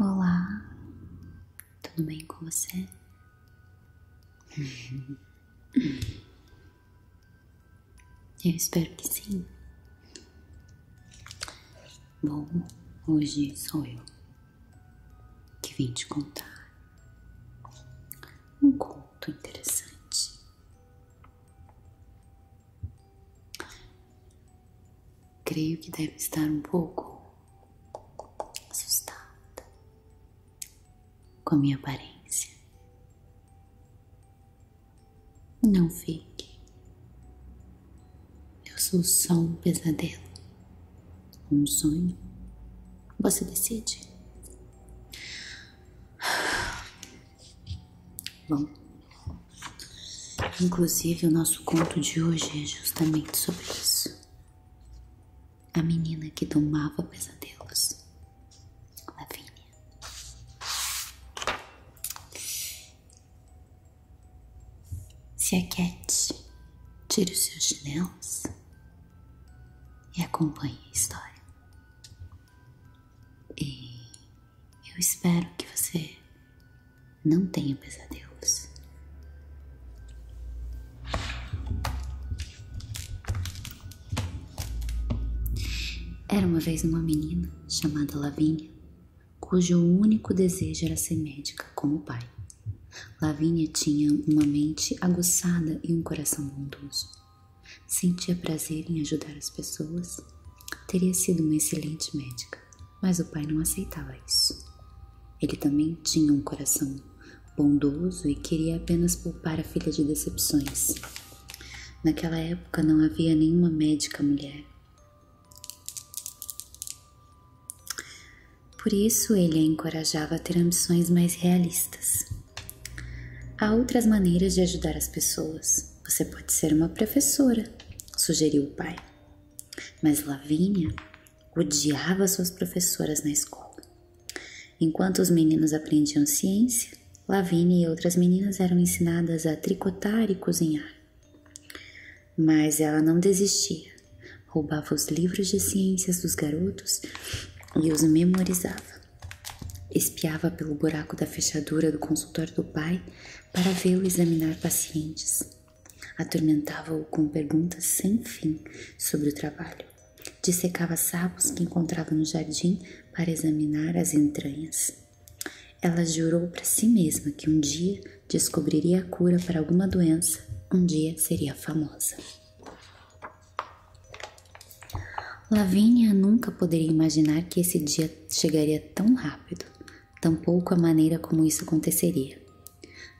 Olá, tudo bem com você? Eu espero que sim. Bom, hoje sou eu que vim te contar um conto interessante. Creio que deve estar um pouco assustada com a minha aparência. Não fique. Eu sou só um pesadelo, um sonho. Você decide. Bom. Inclusive, o nosso conto de hoje é justamente sobre isso. A menina que domava pesadelos, Lavínia. Se aquete, tire os seus chinelos e acompanhe a história. E eu espero que você não tenha pesadelos. Era uma vez uma menina chamada Lavinha, cujo único desejo era ser médica como o pai. Lavinha tinha uma mente aguçada e um coração bondoso. Sentia prazer em ajudar as pessoas. Teria sido uma excelente médica. Mas o pai não aceitava isso. Ele também tinha um coração bondoso e queria apenas poupar a filha de decepções. Naquela época não havia nenhuma médica mulher. Por isso ele a encorajava a ter ambições mais realistas. Há outras maneiras de ajudar as pessoas. Você pode ser uma professora, sugeriu o pai. Mas Lavínia odiava suas professoras na escola. Enquanto os meninos aprendiam ciência, Lavínia e outras meninas eram ensinadas a tricotar e cozinhar. Mas ela não desistia, roubava os livros de ciências dos garotos e os memorizava. Espiava pelo buraco da fechadura do consultório do pai para vê-lo examinar pacientes. Atormentava-o com perguntas sem fim sobre o trabalho. Dissecava sapos que encontrava no jardim para examinar as entranhas. Ela jurou para si mesma que um dia descobriria a cura para alguma doença, um dia seria famosa. Lavínia nunca poderia imaginar que esse dia chegaria tão rápido tampouco a maneira como isso aconteceria.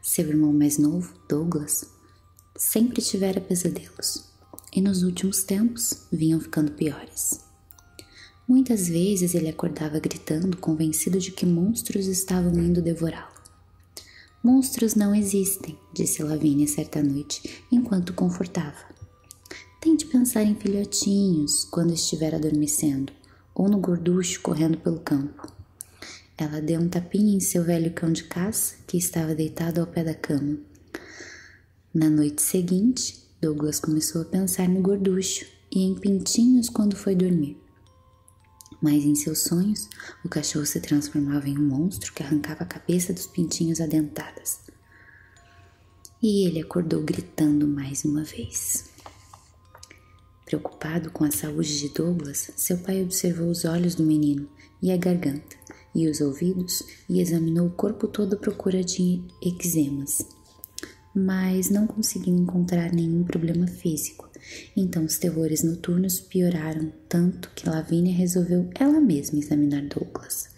Seu irmão mais novo, Douglas, sempre tivera pesadelos e nos últimos tempos vinham ficando piores. Muitas vezes ele acordava gritando, convencido de que monstros estavam indo devorá-lo. Monstros não existem, disse Lavínia certa noite, enquanto confortava. Tente pensar em filhotinhos quando estiver adormecendo, ou no gorducho correndo pelo campo. Ela deu um tapinha em seu velho cão de caça, que estava deitado ao pé da cama. Na noite seguinte, Douglas começou a pensar no gorducho e em pintinhos quando foi dormir. Mas em seus sonhos, o cachorro se transformava em um monstro que arrancava a cabeça dos pintinhos adentadas. E ele acordou gritando mais uma vez. Preocupado com a saúde de Douglas, seu pai observou os olhos do menino e a garganta, e os ouvidos, e examinou o corpo todo à procura de eczemas. Mas não conseguiu encontrar nenhum problema físico. Então os terrores noturnos pioraram tanto que Lavínia resolveu ela mesma examinar Douglas,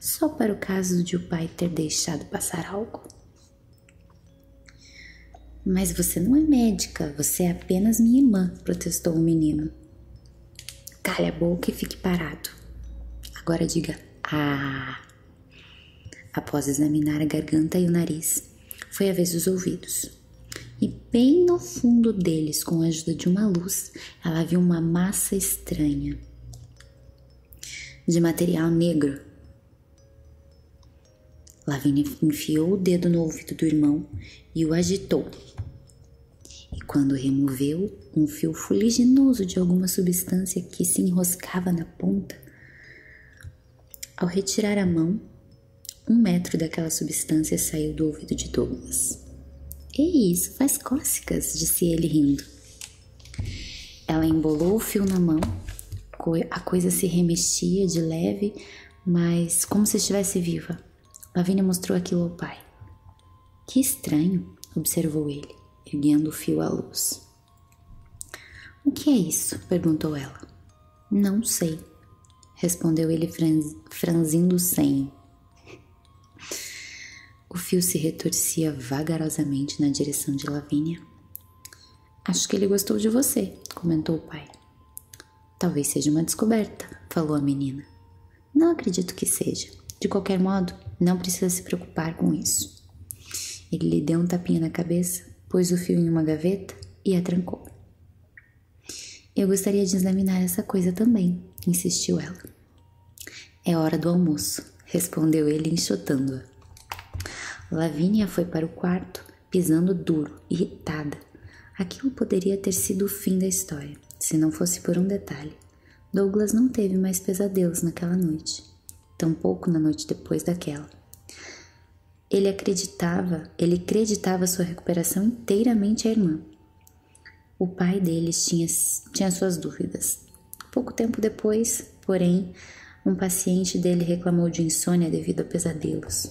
só para o caso de o pai ter deixado passar algo. Mas você não é médica, você é apenas minha irmã, protestou o menino. Calha a boca e fique parado. Agora diga ah. Após examinar a garganta e o nariz, foi a vez dos ouvidos. E bem no fundo deles, com a ajuda de uma luz, ela viu uma massa estranha de material negro Lavínia enfiou o dedo no ouvido do irmão e o agitou. E quando removeu um fio fuliginoso de alguma substância que se enroscava na ponta, ao retirar a mão, um metro daquela substância saiu do ouvido de Douglas. É isso faz cócegas, disse ele rindo. Ela embolou o fio na mão, a coisa se remexia de leve, mas como se estivesse viva. Lavínia mostrou aquilo ao pai. Que estranho, observou ele, erguendo o fio à luz. O que é isso? perguntou ela. Não sei, respondeu ele franzindo o senho. O fio se retorcia vagarosamente na direção de Lavínia. Acho que ele gostou de você, comentou o pai. Talvez seja uma descoberta, falou a menina. Não acredito que seja. De qualquer modo, não precisa se preocupar com isso. Ele lhe deu um tapinha na cabeça, pôs o fio em uma gaveta e a trancou. Eu gostaria de examinar essa coisa também, insistiu ela. É hora do almoço, respondeu ele enxotando-a. Lavínia foi para o quarto pisando duro, irritada. Aquilo poderia ter sido o fim da história, se não fosse por um detalhe. Douglas não teve mais pesadelos naquela noite, tampouco na noite depois daquela. Ele acreditava, ele acreditava sua recuperação inteiramente à irmã. O pai deles tinha, tinha suas dúvidas. Pouco tempo depois, porém, um paciente dele reclamou de insônia devido a pesadelos.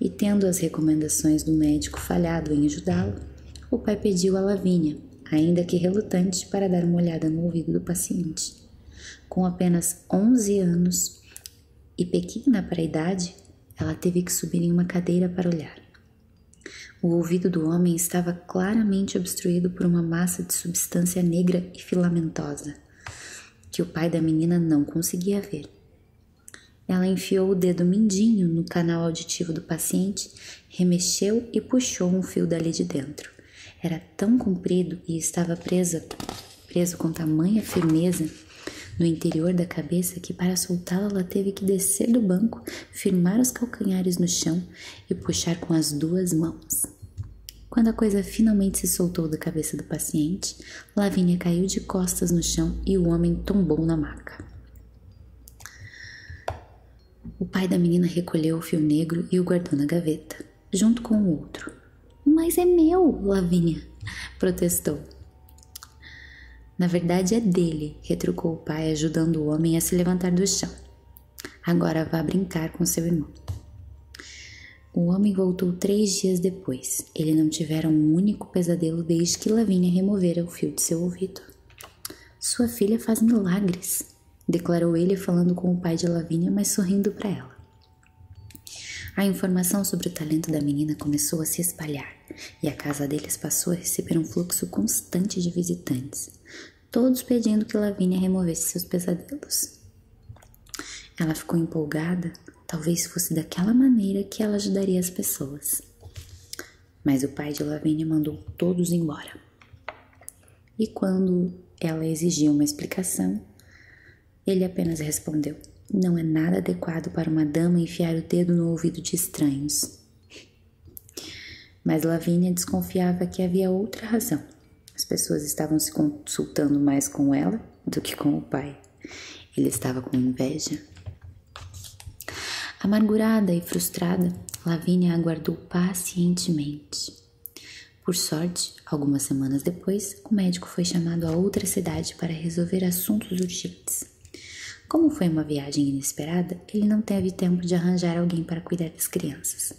E tendo as recomendações do médico falhado em ajudá-lo, o pai pediu a Lavínia, ainda que relutante, para dar uma olhada no ouvido do paciente. Com apenas 11 anos e pequena para a idade, ela teve que subir em uma cadeira para olhar. O ouvido do homem estava claramente obstruído por uma massa de substância negra e filamentosa que o pai da menina não conseguia ver. Ela enfiou o dedo mindinho no canal auditivo do paciente, remexeu e puxou um fio dali de dentro. Era tão comprido e estava presa, preso com tamanha firmeza no interior da cabeça que para soltá lo ela teve que descer do banco, firmar os calcanhares no chão e puxar com as duas mãos quando a coisa finalmente se soltou da cabeça do paciente, Lavínia caiu de costas no chão e o homem tombou na maca. O pai da menina recolheu o fio negro e o guardou na gaveta, junto com o outro. Mas é meu, Lavínia, protestou. Na verdade é dele, retrucou o pai, ajudando o homem a se levantar do chão. Agora vá brincar com seu irmão. O homem voltou três dias depois. Ele não tivera um único pesadelo desde que Lavínia removera o fio de seu ouvido. Sua filha faz milagres, declarou ele falando com o pai de Lavínia, mas sorrindo para ela. A informação sobre o talento da menina começou a se espalhar e a casa deles passou a receber um fluxo constante de visitantes, todos pedindo que Lavínia removesse seus pesadelos. Ela ficou empolgada, talvez fosse daquela maneira que ela ajudaria as pessoas. Mas o pai de Lavínia mandou todos embora. E quando ela exigiu uma explicação, ele apenas respondeu: Não é nada adequado para uma dama enfiar o dedo no ouvido de estranhos. Mas Lavínia desconfiava que havia outra razão. As pessoas estavam se consultando mais com ela do que com o pai. Ele estava com inveja. Amargurada e frustrada, Lavínia aguardou pacientemente. Por sorte, algumas semanas depois, o médico foi chamado a outra cidade para resolver assuntos urgentes. Como foi uma viagem inesperada, ele não teve tempo de arranjar alguém para cuidar das crianças.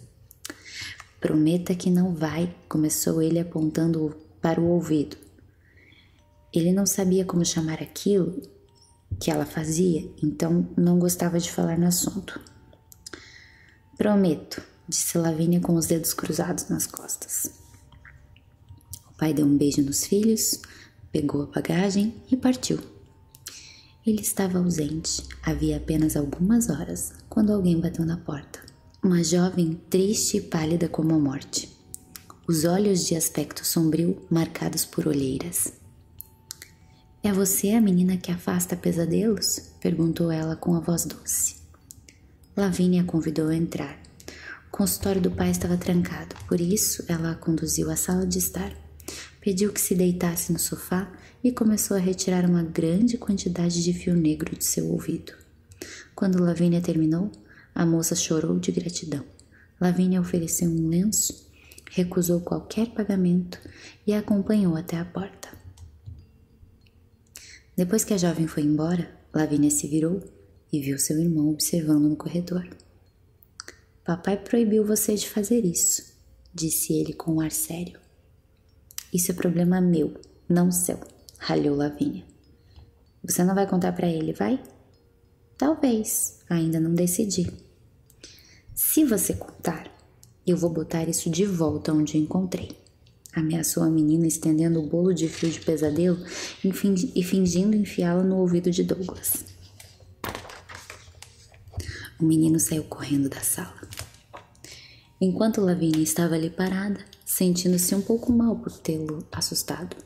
Prometa que não vai, começou ele apontando para o ouvido. Ele não sabia como chamar aquilo que ela fazia, então não gostava de falar no assunto. Prometo, disse Lavínia com os dedos cruzados nas costas. O pai deu um beijo nos filhos, pegou a bagagem e partiu. Ele estava ausente, havia apenas algumas horas, quando alguém bateu na porta. Uma jovem triste e pálida como a morte, os olhos de aspecto sombrio marcados por olheiras. É você a menina que afasta pesadelos? perguntou ela com a voz doce. Lavínia a convidou a entrar. O consultório do pai estava trancado, por isso ela a conduziu à sala de estar. Pediu que se deitasse no sofá e começou a retirar uma grande quantidade de fio negro de seu ouvido. Quando Lavínia terminou, a moça chorou de gratidão. Lavínia ofereceu um lenço, recusou qualquer pagamento e a acompanhou até a porta. Depois que a jovem foi embora, Lavínia se virou e viu seu irmão observando no corredor. Papai proibiu você de fazer isso, disse ele com ar sério. Isso é problema meu, não seu, ralhou Lavínia. Você não vai contar para ele, vai? Talvez, ainda não decidi. Se você contar, eu vou botar isso de volta onde encontrei. Ameaçou a menina, estendendo o bolo de fio de pesadelo e fingindo enfiá lo no ouvido de Douglas. O menino saiu correndo da sala enquanto Lavínia estava ali parada, sentindo-se um pouco mal por tê-lo assustado.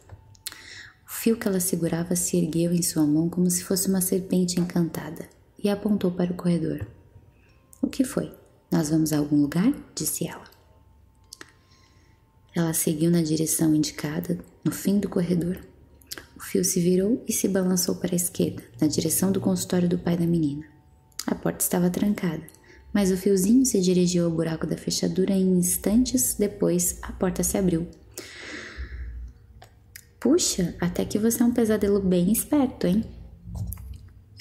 O fio que ela segurava se ergueu em sua mão como se fosse uma serpente encantada e apontou para o corredor. O que foi? Nós vamos a algum lugar? disse ela. Ela seguiu na direção indicada, no fim do corredor. O fio se virou e se balançou para a esquerda, na direção do consultório do pai da menina. A porta estava trancada, mas o fiozinho se dirigiu ao buraco da fechadura e instantes depois a porta se abriu. Puxa, até que você é um pesadelo bem esperto, hein?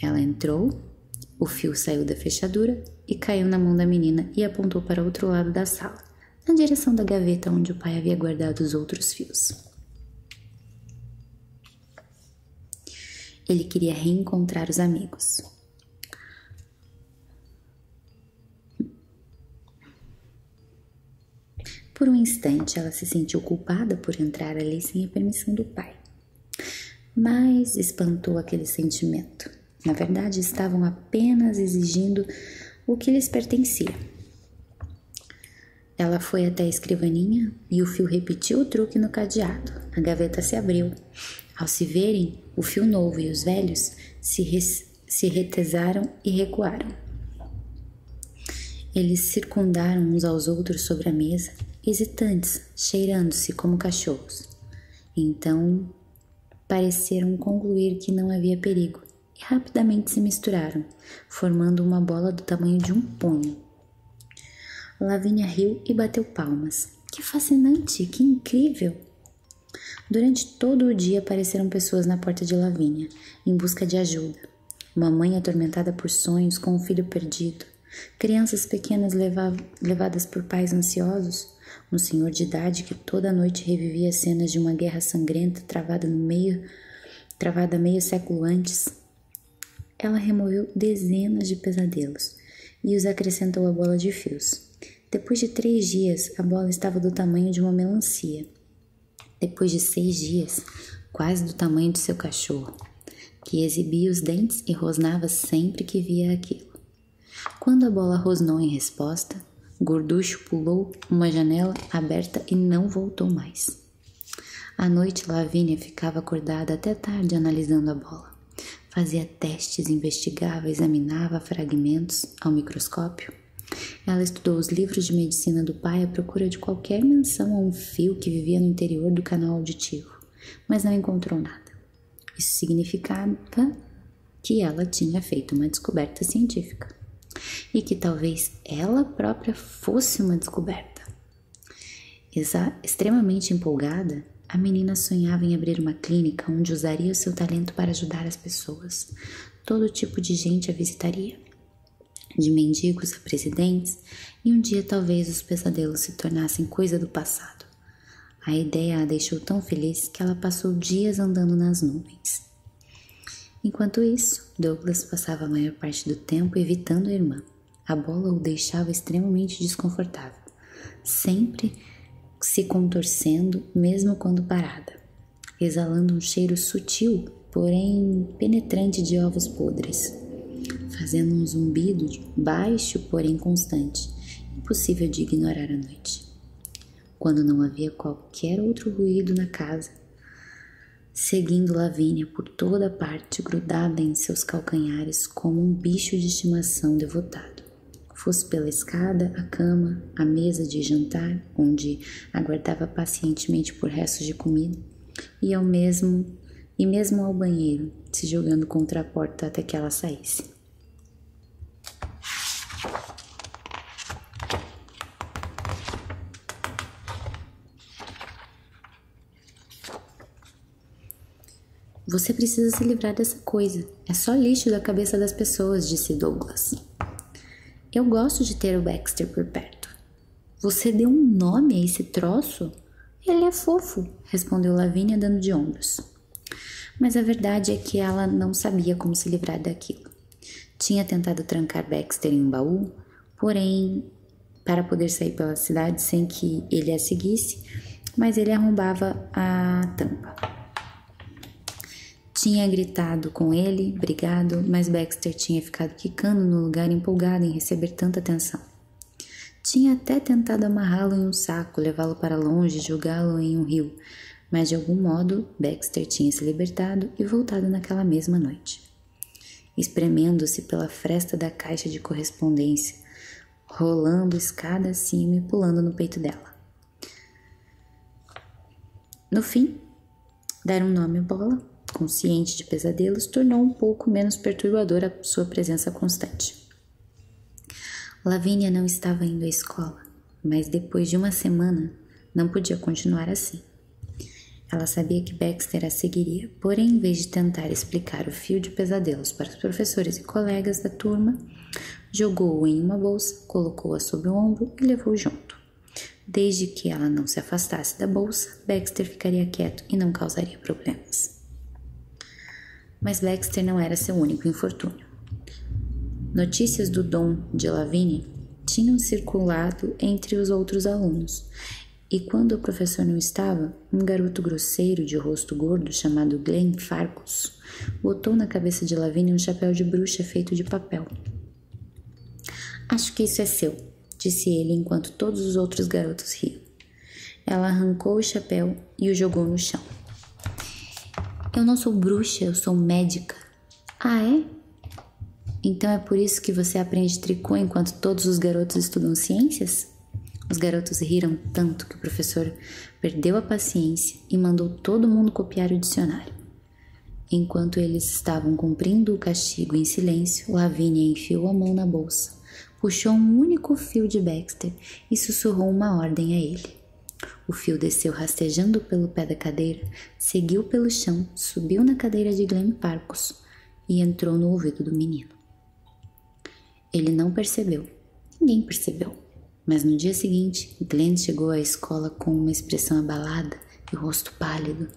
Ela entrou, o fio saiu da fechadura e caiu na mão da menina e apontou para o outro lado da sala, na direção da gaveta onde o pai havia guardado os outros fios. Ele queria reencontrar os amigos. Por um instante, ela se sentiu culpada por entrar ali sem a permissão do pai. Mas espantou aquele sentimento. Na verdade, estavam apenas exigindo o que lhes pertencia. Ela foi até a escrivaninha, e o fio repetiu o truque no cadeado. A gaveta se abriu. Ao se verem, o fio novo e os velhos se, se retesaram e recuaram. Eles circundaram uns aos outros sobre a mesa, hesitantes, cheirando-se como cachorros. Então pareceram concluir que não havia perigo e rapidamente se misturaram, formando uma bola do tamanho de um punho. Lavínia riu e bateu palmas. Que fascinante, que incrível! Durante todo o dia apareceram pessoas na porta de Lavínia, em busca de ajuda. Uma mãe atormentada por sonhos com um filho perdido, crianças pequenas levadas por pais ansiosos, um senhor de idade que toda noite revivia cenas de uma guerra sangrenta travada no meio, travada meio século antes, ela removeu dezenas de pesadelos e os acrescentou à bola de fios. Depois de três dias, a bola estava do tamanho de uma melancia. Depois de seis dias, quase do tamanho de seu cachorro, que exibia os dentes e rosnava sempre que via aquilo. Quando a bola rosnou em resposta, Gorducho pulou uma janela aberta e não voltou mais. À noite, Lavínia ficava acordada até tarde analisando a bola. Fazia testes, investigava, examinava fragmentos ao microscópio. Ela estudou os livros de medicina do pai à procura de qualquer menção a um fio que vivia no interior do canal auditivo, mas não encontrou nada. Isso significava que ela tinha feito uma descoberta científica e que talvez ela própria fosse uma descoberta extremamente empolgada, a menina sonhava em abrir uma clínica onde usaria o seu talento para ajudar as pessoas. Todo tipo de gente a visitaria, de mendigos a presidentes, e um dia talvez os pesadelos se tornassem coisa do passado. A ideia a deixou tão feliz que ela passou dias andando nas nuvens. Enquanto isso, Douglas passava a maior parte do tempo evitando a irmã. A bola o deixava extremamente desconfortável, sempre se contorcendo, mesmo quando parada, exalando um cheiro sutil, porém penetrante de ovos podres, fazendo um zumbido baixo, porém constante, impossível de ignorar à noite. Quando não havia qualquer outro ruído na casa, seguindo Lavínia por toda parte, grudada em seus calcanhares como um bicho de estimação devotado. Fosse pela escada, a cama, a mesa de jantar, onde aguardava pacientemente por restos de comida, e ao mesmo e mesmo ao banheiro, se jogando contra a porta até que ela saísse. Você precisa se livrar dessa coisa. É só lixo da cabeça das pessoas, disse Douglas. Eu gosto de ter o Baxter por perto. Você deu um nome a esse troço? Ele é fofo, respondeu Lavínia, dando de ombros. Mas a verdade é que ela não sabia como se livrar daquilo. Tinha tentado trancar Baxter em um baú, porém para poder sair pela cidade sem que ele a seguisse, mas ele arrombava a tampa. Tinha gritado com ele, brigado, mas Baxter tinha ficado quicando no lugar empolgado em receber tanta atenção. Tinha até tentado amarrá-lo em um saco, levá-lo para longe, e jogá-lo em um rio, mas de algum modo Baxter tinha se libertado e voltado naquela mesma noite. Espremendo-se pela fresta da caixa de correspondência, rolando escada acima e pulando no peito dela. No fim, dar um nome à bola, consciente de pesadelos, tornou um pouco menos perturbadora a sua presença constante. Lavínia não estava indo à escola, mas depois de uma semana não podia continuar assim. Ela sabia que Baxter a seguiria teoria, porém, em vez de tentar explicar o fio de pesadelos para os professores e colegas da turma, jogou-o em uma bolsa, colocou-a sobre o ombro e levou junto. Desde que ela não se afastasse da bolsa, Baxter ficaria quieto e não causaria problemas. Mas Baxter não era seu único infortúnio. Notícias do Dom de Lavigne tinham circulado entre os outros alunos, e quando o professor não estava, um garoto grosseiro de rosto gordo chamado Glen Farcus botou na cabeça de Lavínia um chapéu de bruxa feito de papel. Acho que isso é seu, disse ele enquanto todos os outros garotos riam. Ela arrancou o chapéu e o jogou no chão. Eu não sou bruxa, eu sou médica. Ah, é? Então é por isso que você aprende tricô enquanto todos os garotos estudam ciências? Os garotos riram tanto que o professor perdeu a paciência e mandou todo mundo copiar o dicionário. Enquanto eles estavam cumprindo o castigo em silêncio, Lavínia enfiou a mão na bolsa, puxou um único fio de Baxter e sussurrou uma ordem a ele. O fio desceu rastejando pelo pé da cadeira, seguiu pelo chão, subiu na cadeira de Glenn Parcos e entrou no ouvido do menino. Ele não percebeu. Ninguém percebeu. Mas no dia seguinte, Glenn chegou à escola com uma expressão abalada e rosto pálido.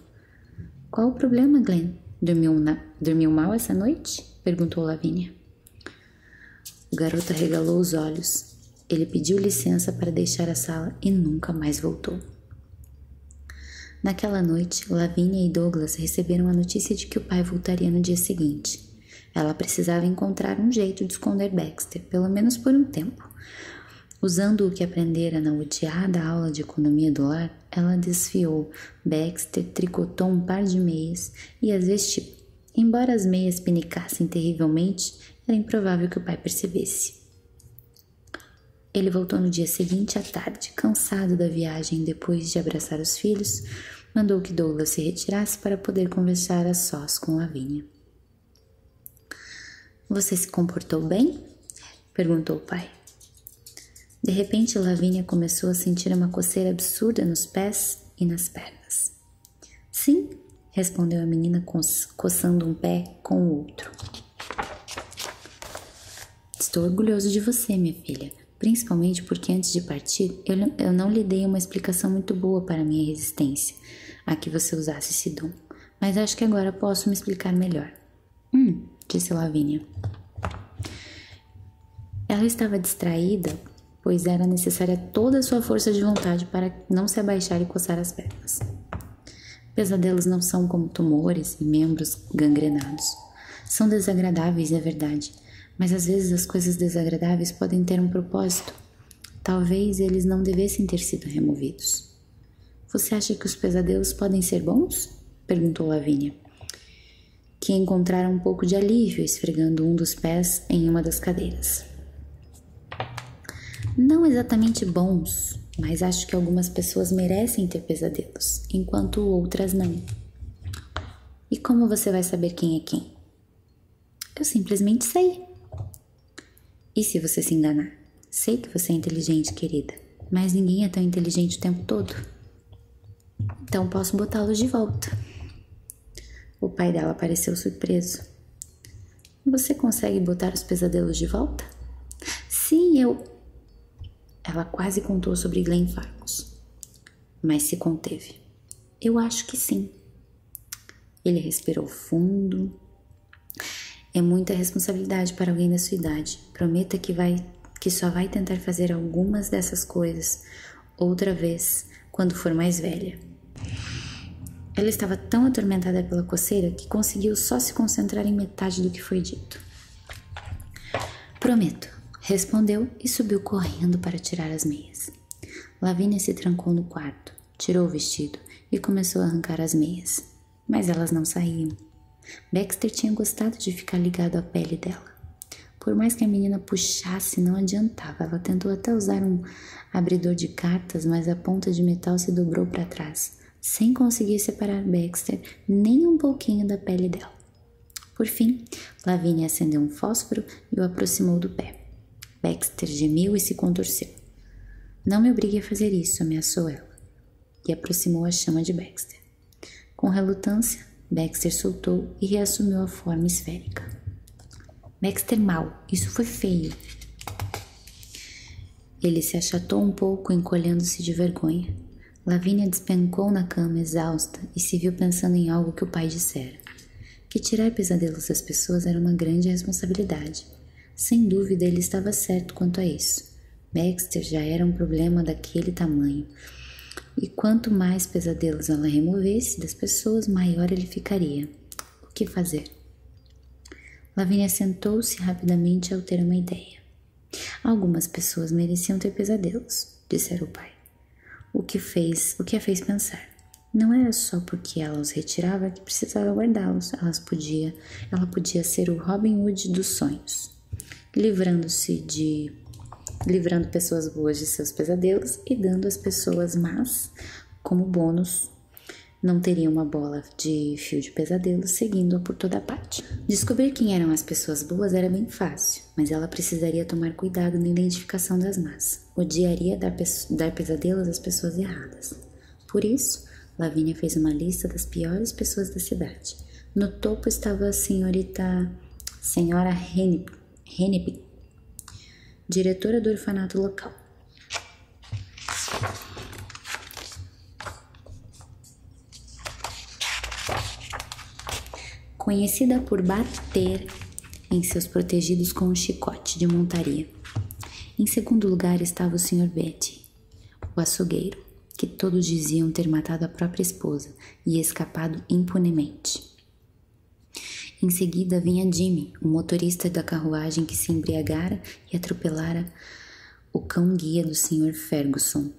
Qual o problema, Glenn? Dormiu, Dormiu mal essa noite? perguntou Lavínia. O garoto regalou os olhos. Ele pediu licença para deixar a sala e nunca mais voltou. Naquela noite, noite, Lavínia e Douglas receberam a notícia de que o pai voltaria no dia seguinte. Ela precisava encontrar um jeito de esconder Baxter, pelo menos por um tempo. Usando o que aprendera na odiada aula de economia do lar, ela desfiou. Baxter tricotou um par de meias e as vestiu. Embora as meias pinicassem terrivelmente, era improvável que o pai percebesse. Ele voltou no dia seguinte à tarde, cansado da viagem depois de abraçar os filhos, mandou que Douglas se retirasse para poder conversar a sós com Lavínia. Você se comportou bem? perguntou o pai. De repente, Lavínia começou a sentir uma coceira absurda nos pés e nas pernas. Sim, respondeu a menina coçando um pé com o outro. Estou orgulhoso de você, minha filha, principalmente porque antes de partir eu, não lhe dei uma explicação muito boa para minha resistência a que você usasse esse dom, mas acho que agora posso me explicar melhor. Hum, disse Lavínia. Ela estava distraída, pois era necessária toda a sua força de vontade para não se abaixar e coçar as pernas. Pesadelos não são como tumores e membros gangrenados. São desagradáveis, é verdade, mas às vezes as coisas desagradáveis podem ter um propósito. Talvez eles não devessem ter sido removidos. Você acha que os pesadelos podem ser bons? perguntou Lavínia, que encontrara um pouco de alívio esfregando um dos pés em uma das cadeiras. Não exatamente bons, mas acho que algumas pessoas merecem ter pesadelos, enquanto outras não. E como você vai saber quem é quem? Eu simplesmente sei. E se você se enganar? Sei que você é inteligente, querida, mas ninguém é tão inteligente o tempo todo. Então posso botá-los de volta. O pai dela pareceu surpreso. Você consegue botar os pesadelos de volta? Sim, eu. Ela quase contou sobre Glen Fargus mas se conteve. Eu acho que sim. Ele respirou fundo. É muita responsabilidade para alguém da sua idade. Prometa que vai que só vai tentar fazer algumas dessas coisas outra vez quando for mais velha. Ela estava tão atormentada pela coceira que conseguiu só se concentrar em metade do que foi dito. Prometo, respondeu e subiu correndo para tirar as meias. Lavínia se trancou no quarto, tirou o vestido e começou a arrancar as meias, mas elas não saíam. Baxter tinha gostado de ficar ligado à pele dela. Por mais que a menina puxasse, não adiantava. Ela tentou até usar um abridor de cartas, mas a ponta de metal se dobrou para trás, sem conseguir separar Baxter nem um pouquinho da pele dela. Por fim, Lavinia acendeu um fósforo e o aproximou do pé. Baxter gemeu e se contorceu. Não me obrigue a fazer isso, ameaçou ela, e aproximou a chama de Baxter. Com relutância, Baxter soltou e reassumiu a forma esférica. Baxter mal, isso foi feio. Ele se achatou um pouco, encolhendo-se de vergonha. Lavínia despencou na cama exausta e se viu pensando em algo que o pai dissera. Que tirar pesadelos das pessoas era uma grande responsabilidade. Sem dúvida ele estava certo quanto a isso. Baxter já era um problema daquele tamanho. E quanto mais pesadelos ela removesse das pessoas, maior ele ficaria. O que fazer? Lavínia sentou-se rapidamente ao ter uma ideia. Algumas pessoas mereciam ter pesadelos, disse o pai o que fez, o que a fez pensar. Não era só porque ela os retirava que precisava guardá-los. Elas podia, ela podia ser o Robin Hood dos sonhos, livrando-se de livrando pessoas boas de seus pesadelos e dando às pessoas más como bônus. Não teria uma bola de fio de pesadelo seguindo-a por toda parte. Descobrir quem eram as pessoas boas era bem fácil mas ela precisaria tomar cuidado na identificação das más. Odiaria dar, pesadelos às pessoas erradas. Por isso, Lavínia fez uma lista das piores pessoas da cidade. No topo estava a senhorita. Senhora Hennep, diretora do orfanato local. Conhecida por bater em seus protegidos com um chicote de montaria. Em segundo lugar estava o Sr. Betty, o açougueiro, que todos diziam ter matado a própria esposa e escapado impunemente. Em seguida vinha Jimmy, o motorista da carruagem que se embriagara e atropelara o cão-guia do Sr. Ferguson.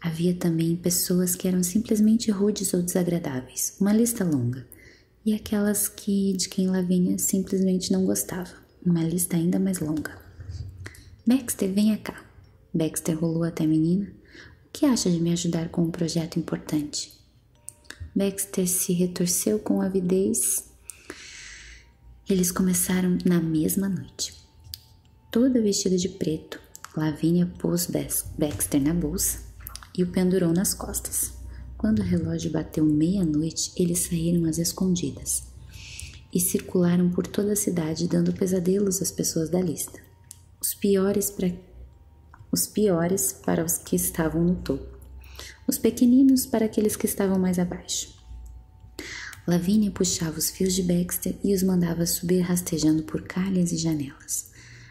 Havia também pessoas que eram simplesmente rudes ou desagradáveis, uma lista longa, e aquelas que de quem Lavínia simplesmente não gostava, uma lista ainda mais longa. Baxter, venha cá. Baxter rolou até a menina. O que acha de me ajudar com um projeto importante? Baxter se retorceu com avidez. Eles começaram na mesma noite. Toda vestida de preto, Lavínia pôs Baxter na bolsa e o pendurou nas costas. Quando o relógio bateu meia-noite, eles saíram às escondidas e circularam por toda a cidade, dando pesadelos às pessoas da lista. Os piores, pra... os piores para os que estavam no topo, os pequeninos para aqueles que estavam mais abaixo. Lavínia puxava os fios de Baxter e os mandava subir rastejando por calhas e janelas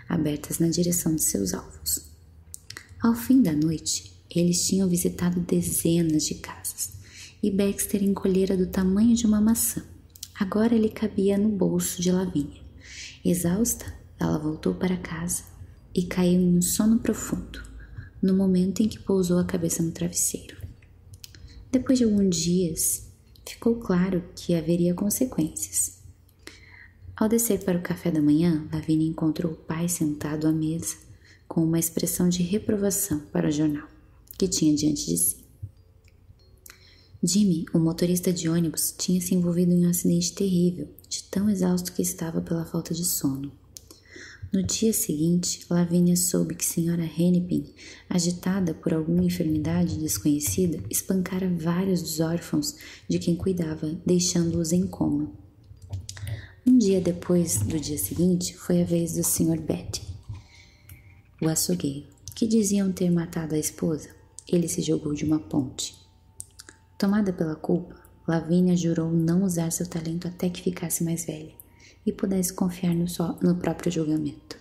abertas na direção de seus alvos. Ao fim da noite, eles tinham visitado dezenas de casas e Baxter encolhera do tamanho de uma maçã. Agora ele cabia no bolso de Lavínia. Exausta, ela voltou para casa e caiu em um sono profundo, no momento em que pousou a cabeça no travesseiro. Depois de alguns dias, ficou claro que haveria consequências. Ao descer para o café da manhã, Lavínia encontrou o pai sentado à mesa com uma expressão de reprovação para o jornal que tinha diante de si. Jimmy, o motorista de ônibus, tinha se envolvido em um acidente terrível, de tão exausto que estava pela falta de sono. No dia seguinte, Lavínia soube que a senhora Hennepin agitada por alguma enfermidade desconhecida, espancara vários dos órfãos de quem cuidava, deixando-os em coma. Um dia depois do dia seguinte, foi a vez do Sr. Betty, o açougueiro, que diziam ter matado a esposa. Ele se jogou de uma ponte. Tomada pela culpa, Lavínia jurou não usar seu talento até que ficasse mais velha e pudesse confiar no, no próprio julgamento.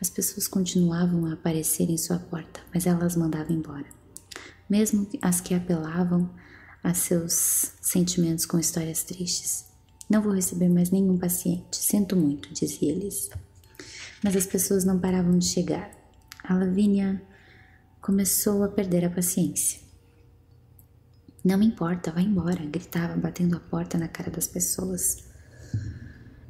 As pessoas continuavam a aparecer em sua porta, mas ela as mandava embora. Mesmo as que apelavam a seus sentimentos com histórias tristes. Não vou receber mais nenhum paciente, sinto muito, diziam eles. Mas as pessoas não paravam de chegar. A Lavínia começou a perder a paciência. Não me importa, vá embora, gritava, batendo a porta na cara das pessoas.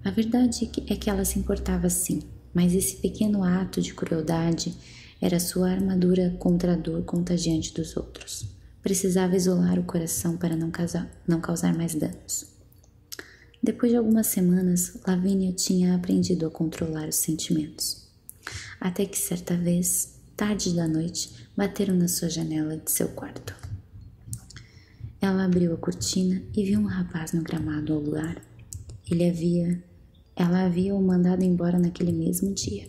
A verdade é, é que ela se importava sim, mas esse pequeno ato de crueldade era sua armadura contra a dor contagiante dos outros. Precisava isolar o coração para não, causar, mais danos. Depois de algumas semanas, Lavínia tinha aprendido a controlar os sentimentos. Até que certa vez, tarde da noite, bateram na sua janela de seu quarto. Ela abriu a cortina e viu um rapaz no gramado ao lugar Ele havia, ela havia o mandado embora naquele mesmo dia.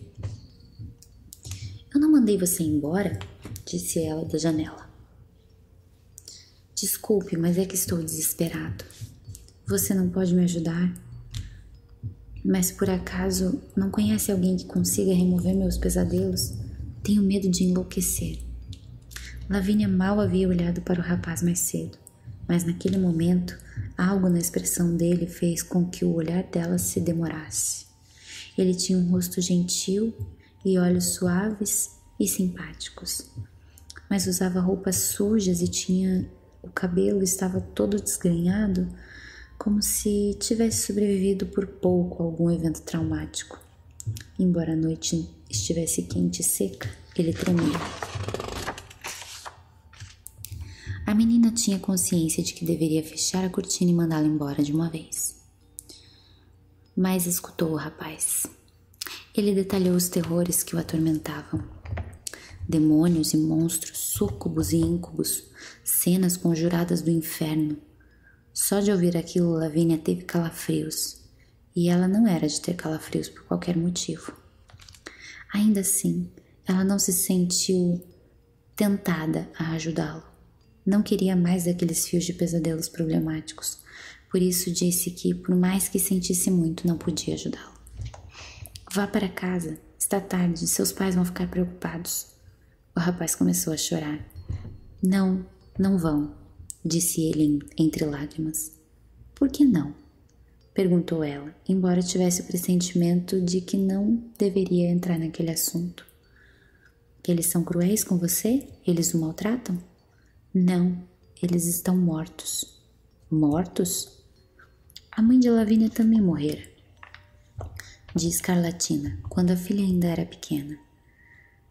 Eu não mandei você embora, disse ela da janela. Desculpe, mas é que estou desesperado. Você não pode me ajudar? Mas por acaso não conhece alguém que consiga remover meus pesadelos? Tenho medo de enlouquecer. Lavínia mal havia olhado para o rapaz mais cedo, mas naquele momento algo na expressão dele fez com que o olhar dela se demorasse. Ele tinha um rosto gentil e olhos suaves e simpáticos, mas usava roupas sujas e tinha o cabelo estava todo desgrenhado, como se tivesse sobrevivido por pouco a algum evento traumático. Embora a noite estivesse quente e seca, ele tremia. A menina tinha consciência de que deveria fechar a cortina e mandá-lo embora de uma vez. Mas escutou o rapaz. Ele detalhou os terrores que o atormentavam. Demônios e monstros, súcubos e íncubos, cenas conjuradas do inferno. Só de ouvir aquilo, Lavínia teve calafrios e ela não era de ter calafrios por qualquer motivo. Ainda assim, ela não se sentiu tentada a ajudá-lo. Não queria mais daqueles fios de pesadelos problemáticos, por isso disse que, por mais que sentisse muito, não podia ajudá-lo. Vá para casa, está tarde, seus pais vão ficar preocupados. O rapaz começou a chorar. Não, não vão disse ele entre lágrimas. Por que não? perguntou ela, embora tivesse o pressentimento de que não deveria entrar naquele assunto. eles são cruéis com você? Eles o maltratam? Não, eles estão mortos. Mortos? A mãe de Lavínia também morrera, disse Carlatina, quando a filha ainda era pequena.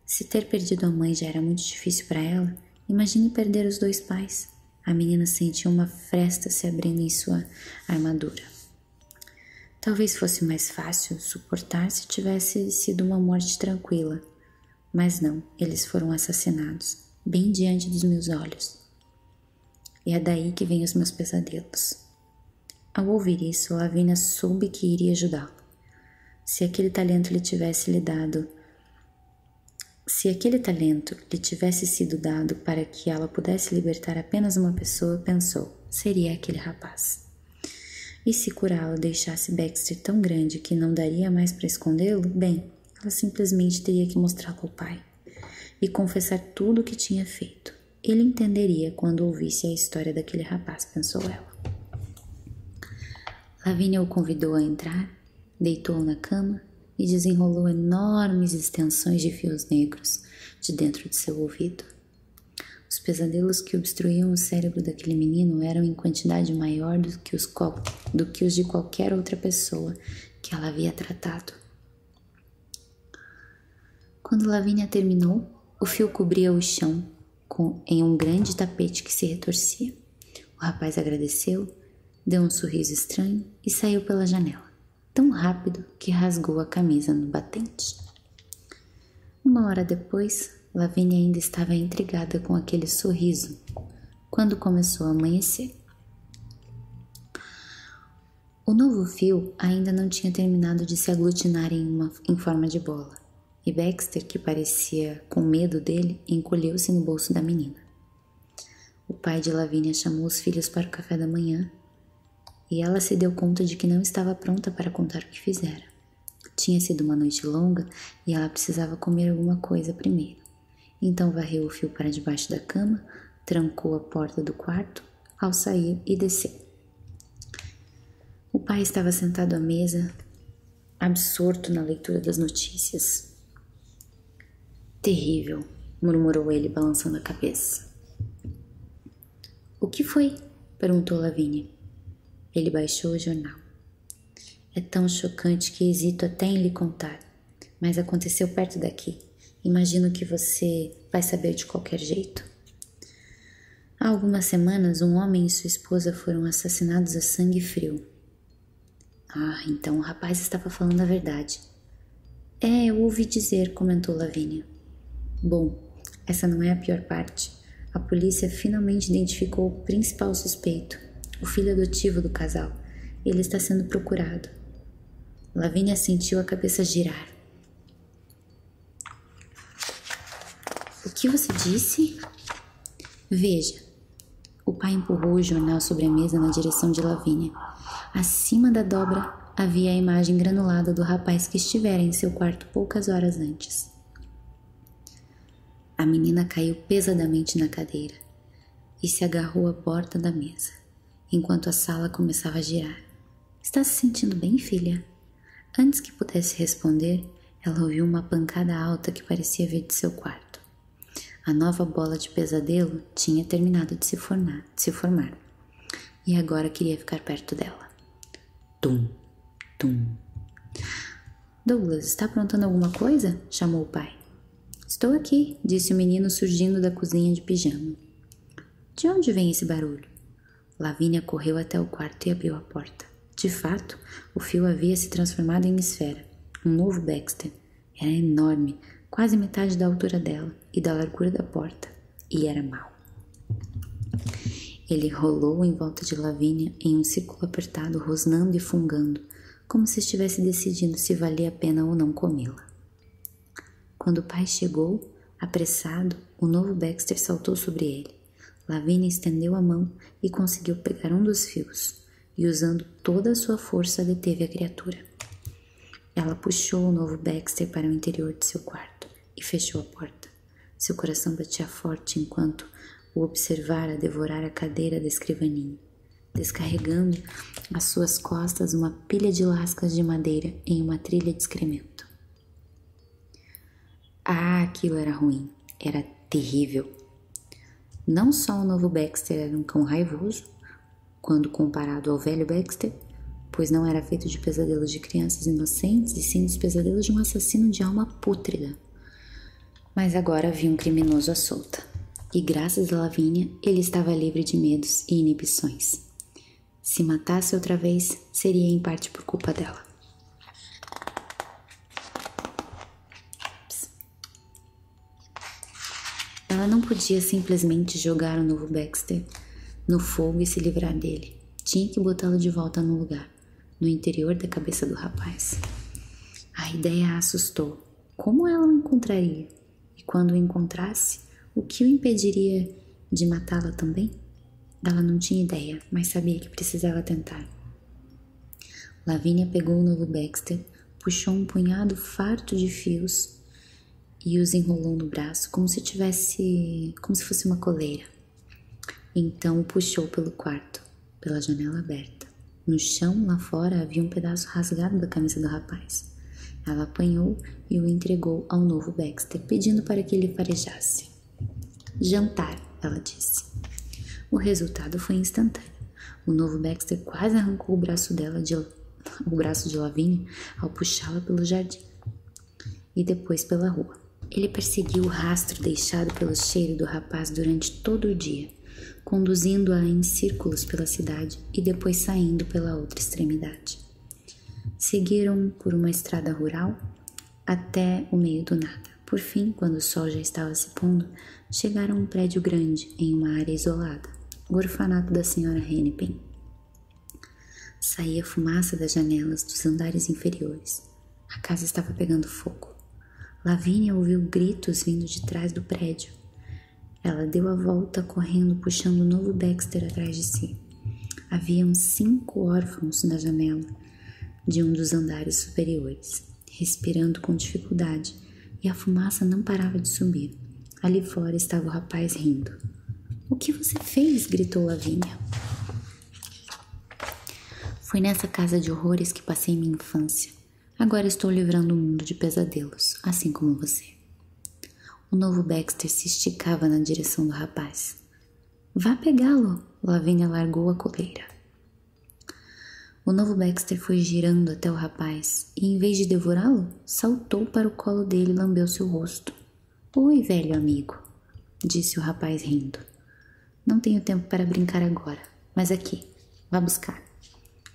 Se ter perdido a mãe já era muito difícil para ela, imagine perder os dois pais. A menina sentiu uma fresta se abrindo em sua armadura. Talvez fosse mais fácil suportar se tivesse sido uma morte tranquila. Mas não, eles foram assassinados, bem diante dos meus olhos. E é daí que vêm os meus pesadelos. Ao ouvir isso, a Lavina soube que iria ajudá-lo. Se aquele talento lhe tivesse lhe dado, se aquele talento lhe tivesse sido dado para que ela pudesse libertar apenas uma pessoa, pensou, seria aquele rapaz. E se curá-lo deixasse Baxter tão grande que não daria mais para escondê-lo, bem, ela simplesmente teria que mostrá-lo ao pai e confessar tudo o que tinha feito. Ele entenderia quando ouvisse a história daquele rapaz, pensou ela. Lavínia o convidou a entrar, deitou-o na cama e desenrolou enormes extensões de fios negros de dentro de seu ouvido. Os pesadelos que obstruíam o cérebro daquele menino eram em quantidade maior do que os, de qualquer outra pessoa que ela havia tratado. Quando Lavínia terminou, o fio cobria o chão em um grande tapete que se retorcia. O rapaz agradeceu, deu um sorriso estranho e saiu pela janela, tão rápido que rasgou a camisa no batente. Uma hora depois, Lavínia ainda estava intrigada com aquele sorriso quando começou a amanhecer. O novo fio ainda não tinha terminado de se aglutinar em, uma, em forma de bola, e Baxter, que parecia com medo dele, encolheu-se no bolso da menina. O pai de Lavínia chamou os filhos para o café da manhã e ela se deu conta de que não estava pronta para contar o que fizera. Tinha sido uma noite longa e ela precisava comer alguma coisa primeiro. Então varreu o fio para debaixo da cama, trancou a porta do quarto ao sair e desceu. O pai estava sentado à mesa, absorto na leitura das notícias. Terrível, murmurou ele, balançando a cabeça. O que foi? perguntou Lavínia. Ele baixou o jornal. É tão chocante que hesito até em lhe contar, mas aconteceu perto daqui. Imagino que você vai saber de qualquer jeito. Há algumas semanas, um homem e esposa foram assassinados a sangue frio. Ah, então o rapaz estava falando a verdade. É, eu ouvi dizer, comentou Lavínia. Bom, essa não é a pior parte. A polícia finalmente identificou o principal suspeito, o filho adotivo do casal. Ele está sendo procurado. Lavínia sentiu a cabeça girar. O que você disse? Veja, o pai empurrou o jornal sobre a mesa na direção de Lavínia. Acima da dobra havia a imagem granulada do rapaz que estivera em seu quarto poucas horas antes. A menina caiu pesadamente na cadeira e se agarrou à porta da mesa, enquanto a sala começava a girar. Está se sentindo bem, filha? Antes que pudesse responder, ela ouviu uma pancada alta que parecia vir de seu quarto. A nova bola de pesadelo tinha terminado de se, formar, de se formar e agora queria ficar perto dela. Tum, tum. Douglas, está aprontando alguma coisa? chamou o pai. Estou aqui, disse o menino surgindo da cozinha de pijama. De onde vem esse barulho? Lavínia correu até o quarto e abriu a porta. De fato, o fio havia se transformado em esfera, um novo Baxter. Era enorme, quase metade da altura dela e da largura da porta, e era mau. Ele rolou em volta de Lavínia em um círculo apertado, rosnando e fungando, como se estivesse decidindo se valia a pena ou não comê-la. Quando o pai chegou, apressado, o novo Baxter saltou sobre ele. Lavínia estendeu a mão e conseguiu pegar um dos fios, e usando toda a sua força deteve a criatura. Ela puxou o novo Baxter para o interior de seu quarto e fechou a porta. Seu coração batia forte enquanto o observara devorar a cadeira da escrivaninha, descarregando às suas costas uma pilha de lascas de madeira em uma trilha de excremento. Ah, aquilo era ruim, era terrível. Não só o novo Baxter era um cão raivoso, quando comparado ao velho Baxter, pois não era feito de pesadelos de crianças inocentes e sim dos pesadelos de um assassino de alma pútrida. Mas agora havia um criminoso à solta, e graças a Lavínia ele estava livre de medos e inibições. Se matasse outra vez, seria em parte por culpa dela. Ela não podia simplesmente jogar o novo Baxter no fogo e se livrar dele. Tinha que botá-lo de volta no lugar, no interior da cabeça do rapaz. A ideia a assustou. Como ela o encontraria? E quando o encontrasse, o que o impediria de matá-la também? Ela não tinha ideia, mas sabia que precisava tentar. Lavínia pegou o novo Baxter, puxou um punhado farto de fios e os enrolou no braço como se tivesse, como se fosse uma coleira. Então o puxou pelo quarto, pela janela aberta. No chão lá fora havia um pedaço rasgado da camisa do rapaz. Ela apanhou e o entregou ao novo Baxter, pedindo para que ele farejasse. Jantar, ela disse. O resultado foi instantâneo. O novo Baxter quase arrancou o braço dela de o braço de Lavínia ao puxá-la pelo jardim e depois pela rua. Ele perseguiu o rastro deixado pelo cheiro do rapaz durante todo o dia, conduzindo-a em círculos pela cidade e depois saindo pela outra extremidade. Seguiram por uma estrada rural até o meio do nada. Por fim, quando o sol já estava se pondo, chegaram a um prédio grande em uma área isolada, o orfanato da senhora Hennepin. Saía fumaça das janelas dos andares inferiores. A casa estava pegando fogo. Lavínia ouviu gritos vindo de trás do prédio. Ela deu a volta correndo, puxando o novo Baxter atrás de si. Havia uns cinco órfãos na janela de um dos andares superiores respirando com dificuldade, e a fumaça não parava de subir. Ali fora estava o rapaz rindo. O que você fez? gritou Lavínia. Foi nessa casa de horrores que passei minha infância. Agora estou livrando o mundo de pesadelos, assim como você. O novo Baxter se esticava na direção do rapaz. Vá pegá-lo! Lavínia largou a coleira. O novo Baxter foi girando até o rapaz e, em vez de devorá-lo, saltou para o colo dele e lambeu seu rosto. Oi, velho amigo, disse o rapaz rindo. Não tenho tempo para brincar agora, mas aqui, vá buscar.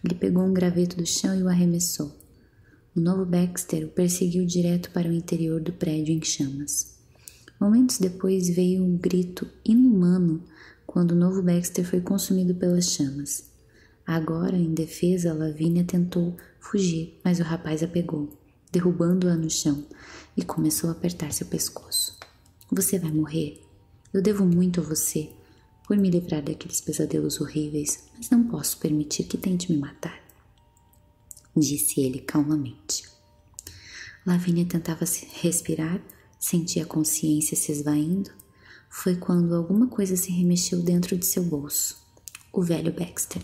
Ele pegou um graveto do chão e o arremessou. O novo Baxter o perseguiu direto para o interior do prédio em chamas. Momentos depois veio um grito inumano quando o novo Baxter foi consumido pelas chamas. Agora, em defesa, Lavínia tentou fugir, mas o rapaz a pegou, derrubando-a no chão, e começou a apertar seu pescoço. Você vai morrer. Eu devo muito a você por me livrar daqueles pesadelos horríveis, mas não posso permitir que tente me matar, disse ele calmamente. Lavínia tentava respirar, sentia a consciência se esvaindo. Foi quando alguma coisa se remexeu dentro de seu bolso o velho Baxter.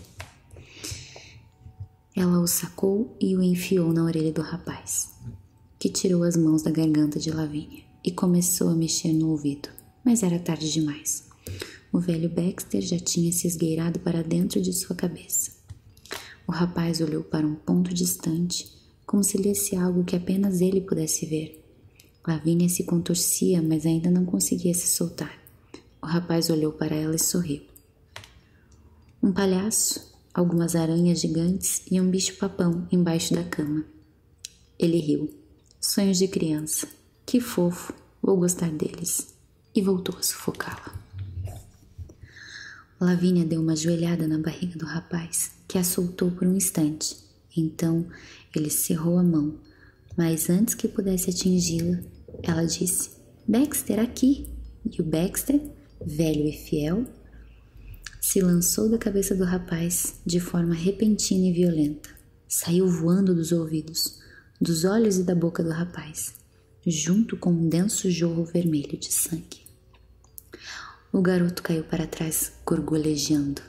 Ela o sacou e o enfiou na orelha do rapaz, que tirou as mãos da garganta de Lavínia e começou a mexer no ouvido, mas era tarde demais. O velho Baxter já tinha se esgueirado para dentro de sua cabeça. O rapaz olhou para um ponto distante como se lesse algo que apenas ele pudesse ver. Lavínia se contorcia, mas ainda não conseguia se soltar. O rapaz olhou para ela e sorriu. Um palhaço, algumas aranhas gigantes e um bicho-papão embaixo da cama. Ele riu. Sonhos de criança. Que fofo, vou gostar deles. E voltou a sufocá-la. Lavínia deu uma joelhada na barriga do rapaz, que a soltou por um instante. Então ele cerrou a mão, mas antes que pudesse atingi-la, ela disse: Baxter, aqui! E o Baxter, velho e fiel, se lançou da cabeça do rapaz de forma repentina e violenta. Saiu voando dos ouvidos, dos olhos e da boca do rapaz, junto com um denso jorro vermelho de sangue. O garoto caiu para trás, gorgolejando.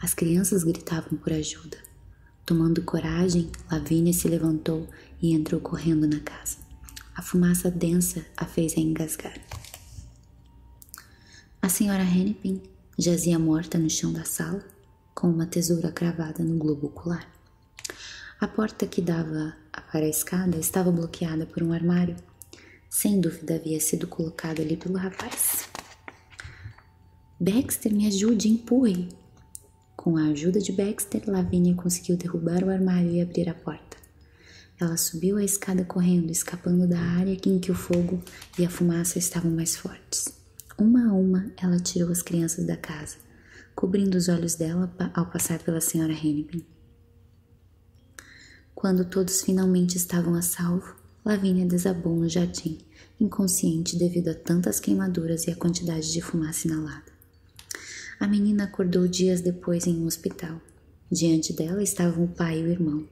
As crianças gritavam por ajuda. Tomando coragem, Lavínia se levantou e entrou correndo na casa. A fumaça densa a fez engasgar. A senhora Hennepin jazia morta no chão da sala, com uma tesoura cravada no globo ocular. A porta que dava para a escada estava bloqueada por um armário sem dúvida havia sido colocado ali pelo rapaz. Baxter, me ajude, empurre! Com a ajuda de Baxter, Lavínia conseguiu derrubar o armário e abrir a porta. Ela subiu a escada correndo, escapando da área em que o fogo e a fumaça estavam mais fortes. Uma a uma, ela tirou as crianças da casa, cobrindo os olhos dela ao passar pela senhora Hennepin. Quando todos finalmente estavam a salvo, Lavínia desabou no jardim, inconsciente devido a tantas queimaduras e a quantidade de fumaça inalada. A menina acordou dias depois em um hospital. Diante dela estavam o pai e o irmão.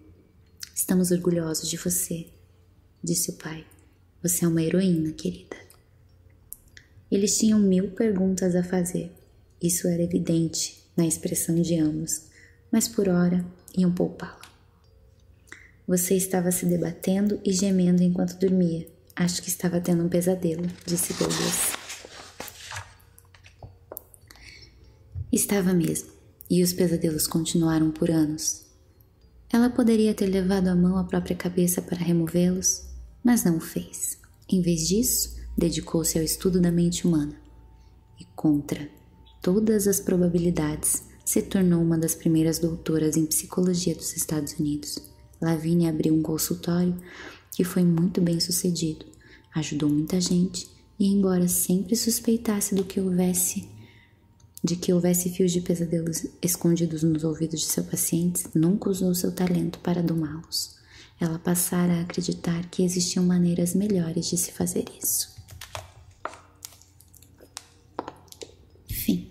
Estamos orgulhosos de você, disse o pai. Você é uma heroína, querida. Eles tinham mil perguntas a fazer. Isso era evidente, na expressão de ambos, mas por hora iam poupá-la. Você estava se debatendo e gemendo enquanto dormia. Acho que estava tendo um pesadelo, disse Douglas. Estava mesmo, e os pesadelos continuaram por anos. Ela poderia ter levado a mão à própria cabeça para removê-los, mas não o fez. Em vez disso, dedicou-se ao estudo da mente humana e, contra todas as probabilidades, se tornou uma das primeiras doutoras em psicologia dos Estados Unidos. Lavigne abriu um consultório que foi muito bem sucedido, ajudou muita gente e, embora sempre suspeitasse do que houvesse, de que houvesse fios de pesadelos escondidos nos ouvidos de seus pacientes, nunca usou seu talento para domá-los ela passara a acreditar que existiam maneiras melhores de se fazer isso. enfim,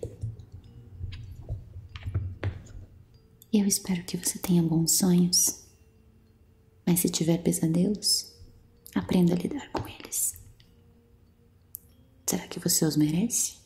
Eu espero que você tenha bons sonhos, mas se tiver pesadelos, aprenda a lidar com eles. Será que você os merece?